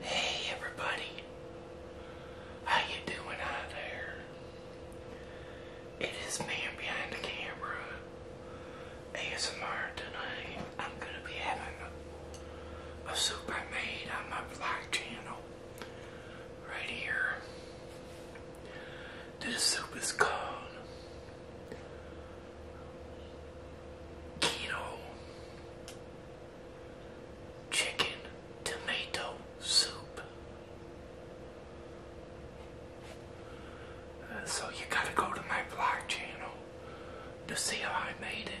Hey everybody, how you doing out there? It is man behind the camera, ASMR tonight. I'm gonna be having a, soup I made on my vlog channel right here. This soup is called keto chicken tomato soup. Uh, so you gotta go to my vlog channel to see how I made it.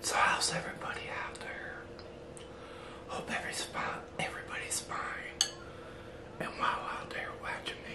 So how's everybody out there? Hope everybody's fine everybody's mind and while out there watching me.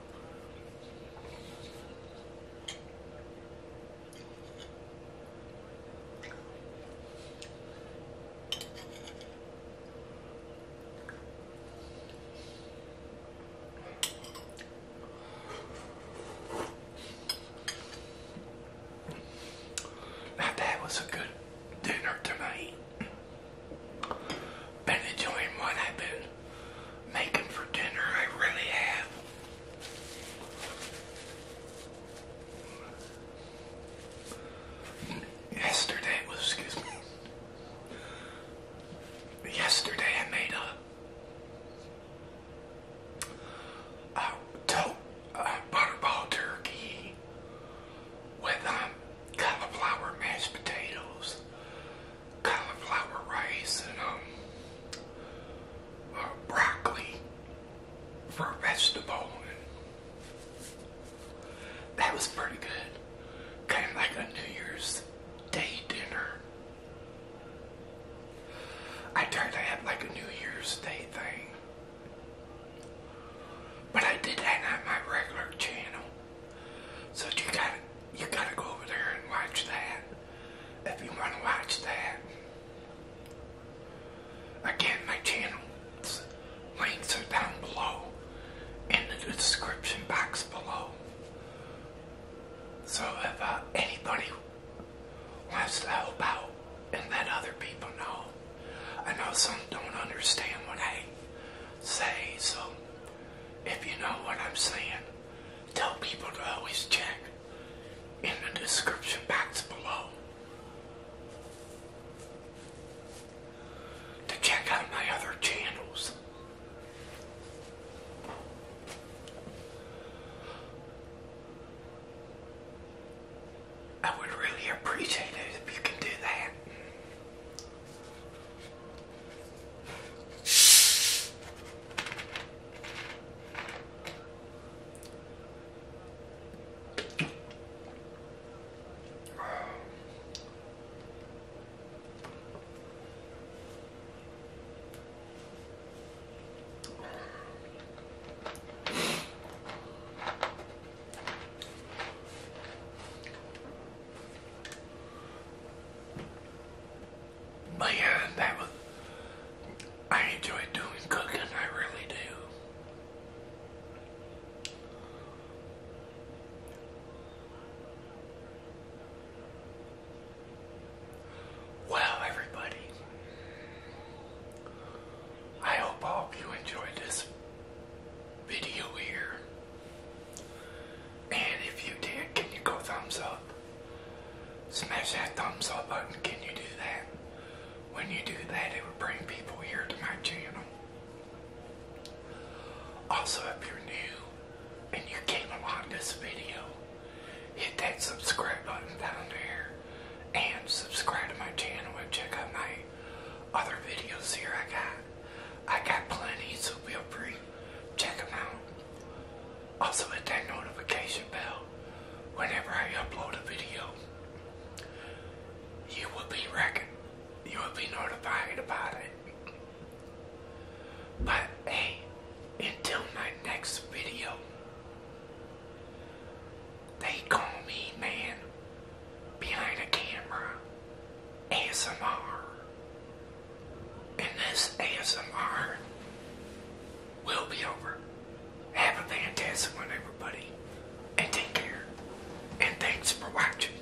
Now that was a good dinner tonight. Been enjoying what I've been making for dinner, I really have. Yesterday excuse me, yesterday I made a, a, to, a butterball turkey with um, cauliflower mashed potatoes, cauliflower rice, and um, uh, broccoli for a vegetable. that was pretty good. Kind of like a New Year's Day dinner. I tried to have like a New Year's Day thing. But I did that on my regular channel. So you got you got to go over there and watch that if you want to watch that. Again, my channel links are down below in the description box below. So if uh, anybody wants to help out and let other people know. I know some don't understand what I say, so if you know what I'm saying, tell people to always check in the description box below to check out my other channels. I would really appreciate it if you can do that. But yeah, that was, I enjoy doing cooking, I really do. Well, everybody, I hope all of you enjoyed this video here. And if you did, can you go thumbs up? Smash that thumbs up button. Can you do that? When you do that, it would bring people here to my channel. Also, if you're new and you came along this video, hit that subscribe button down there and subscribe to my channel and check out my other videos here I got. I got plenty, so feel free. Check them out. Also hit that notification bell whenever I upload a video. You will be record you will be notified about it. But hey, until my next video. They call me man behind a camera ASMR. And this ASMR will be over. Have a fantastic one, everybody. And take care. And thanks for watching.